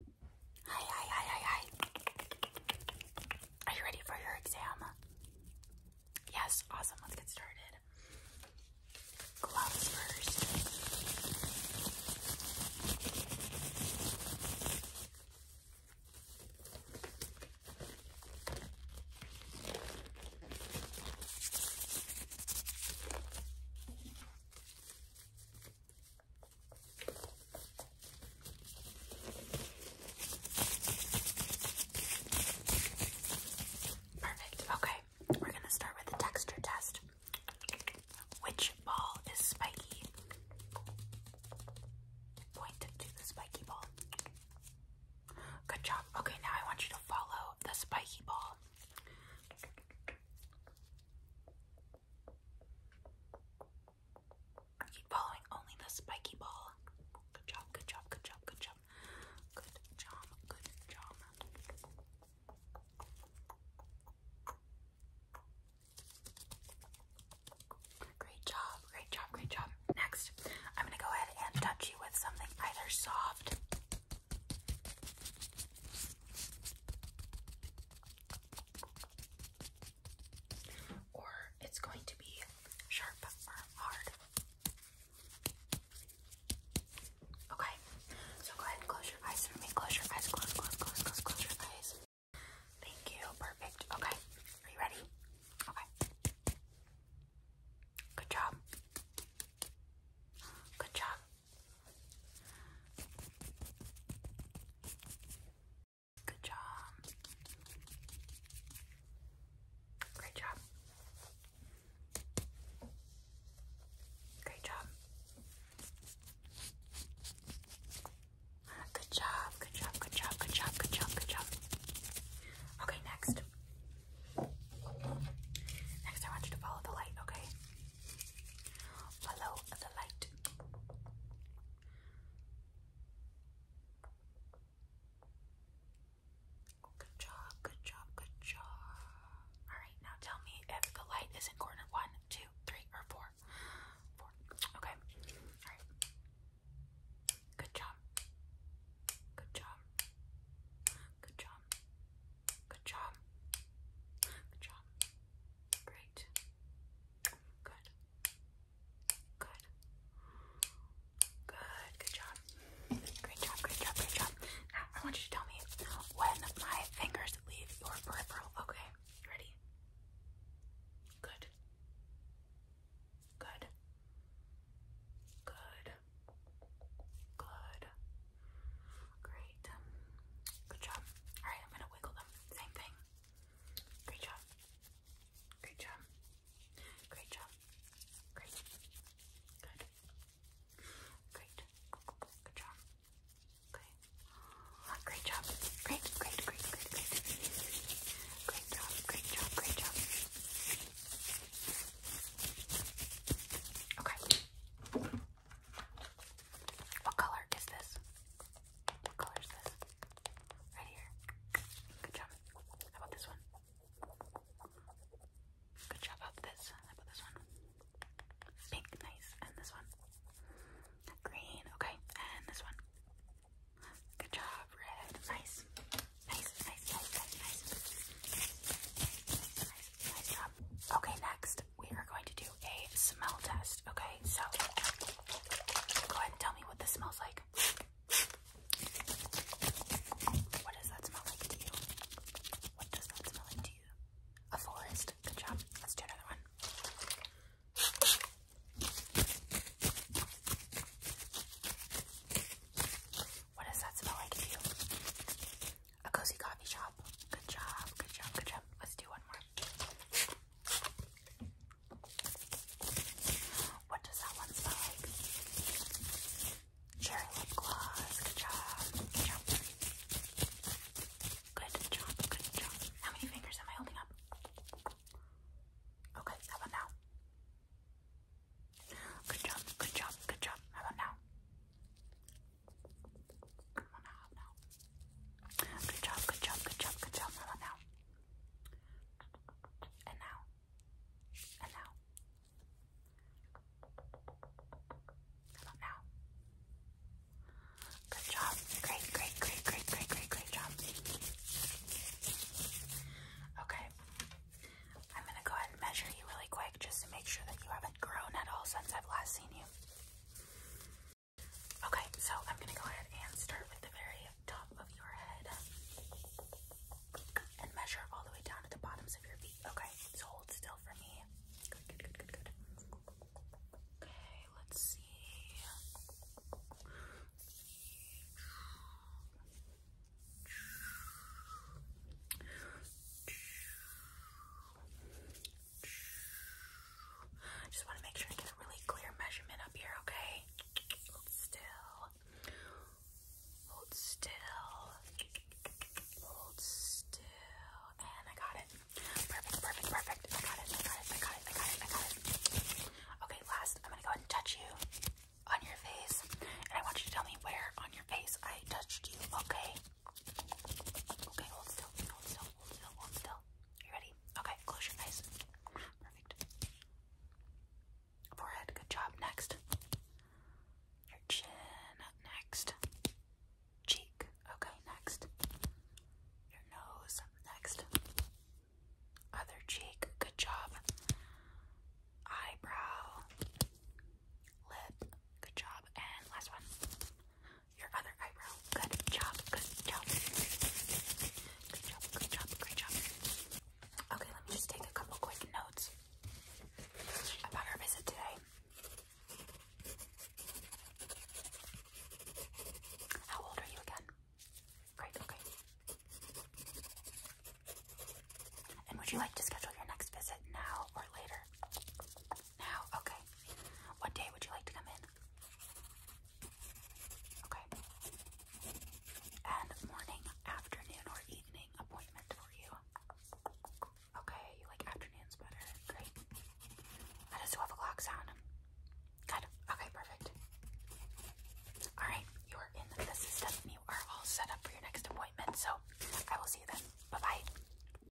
Hi, hi, hi, hi, hi. Are you ready for your exam? Yes, awesome. Let's get started. Gloves first. Perfect. Okay, we're gonna start with the texture test. Which ball is spiky? Point to the spiky ball. Good job. Okay, now I want you to follow the spiky ball. Keep following only the spiky ball. Good job, good job, good job, good job. Good job, good job. Great job, great job, great job. Next, I'm going to go ahead and touch you with something either soft or it's going to be sharp or hard. Okay, so go ahead and close your eyes for me. Close your eyes, close, close, close, close, close your eyes. Thank you, perfect. Okay, are you ready? Okay. Good job. Good job. Good job. Great job. Great job. Good job, good job, good job, good job, good job, good job. Okay, next. Next, I want you to follow the light, okay? Follow the light. Good job, good job, good job. Alright, now tell me if the light is in corner one, two, three, or four. Four. Okay. Alright. Good job. Good job. Good job. Good job. Good job. Great. Good. Good. Good. Good job. Great job. Great job. Great job. Now I want you to tell me when my fingers leave your peripheral. Okay. Ready? Good. Good. Good. Good. Great. good job. Alright, I'm gonna wiggle them. Same thing. Great job. Great job. Great job. Great. Good. Great. Good job. Okay. Great job. Great, great, great, great, great. Great job, great job, great job. Okay. What color is this? What color is this? Right here. Good job. How about this one? Good job. How about this? How about this one? Pink, nice. And this one? Green, okay. And this one? Good job. Red, nice. Nice, nice, nice, nice, nice. Nice, nice job. Okay, next we are going to do a smell test. Okay, so go ahead and tell me what this smells like. What does that smell like to you? What does that smell like to you? A forest. Good job. Let's do another one. What does that smell like to you? A cozy coffee shop. Good job, good job, good job. Let's do one more. What does that one smell like? Cherry lip gloss. Good job, good job. Good job, good job. How many fingers am I holding up? Okay, how about now? Good job, good job, good job. How about now? Come on now, now. Good job, good job, good job, good job. Come on now. And now. And now. Come on now. Good job. Great, great, great, great, great, great, great job. Okay. I'm going to go ahead and measure you really quick just to make sure that you haven't grown at all since I've last seen you. Okay, so I'm going to go ahead and start with the very top of your head and measure all the way down to the bottoms of your feet. Okay, so hold still for me. Good, good, good, good, good. Okay, let's see. I just want to make sure I get a really clear measurement up here, okay? Hold still. Hold still. Hold still. And I got it. Perfect, perfect, perfect. I got it, I got it, I got it, I got it, I got it. Okay, last, I'm going to go ahead and touch you on your face. And I want you to tell me where on your face I touched you, okay? Okay, hold still, hold still, hold still, hold still. You ready? Okay, close your eyes. Perfect. Forehead, good job. Next. Your chin, next. Cheek, okay, next. Your nose, next. Other cheek, good job. Eyebrow, lip, good job. And last one your other eyebrow. Good job, good job. Good job, good job, great job. Okay, let me just take a couple quick notes about our visit today. How old are you again? Great, okay. And would you like to schedule your next visit now or later? now? Okay. What day would you like to come in? Okay. And morning, afternoon, or evening appointment for you? Okay, you like afternoons better. Great. How does 12 o'clock sound? Good. Okay, perfect. Alright, you are in the system you are all set up for your next appointment. So I will see you then. Bye bye.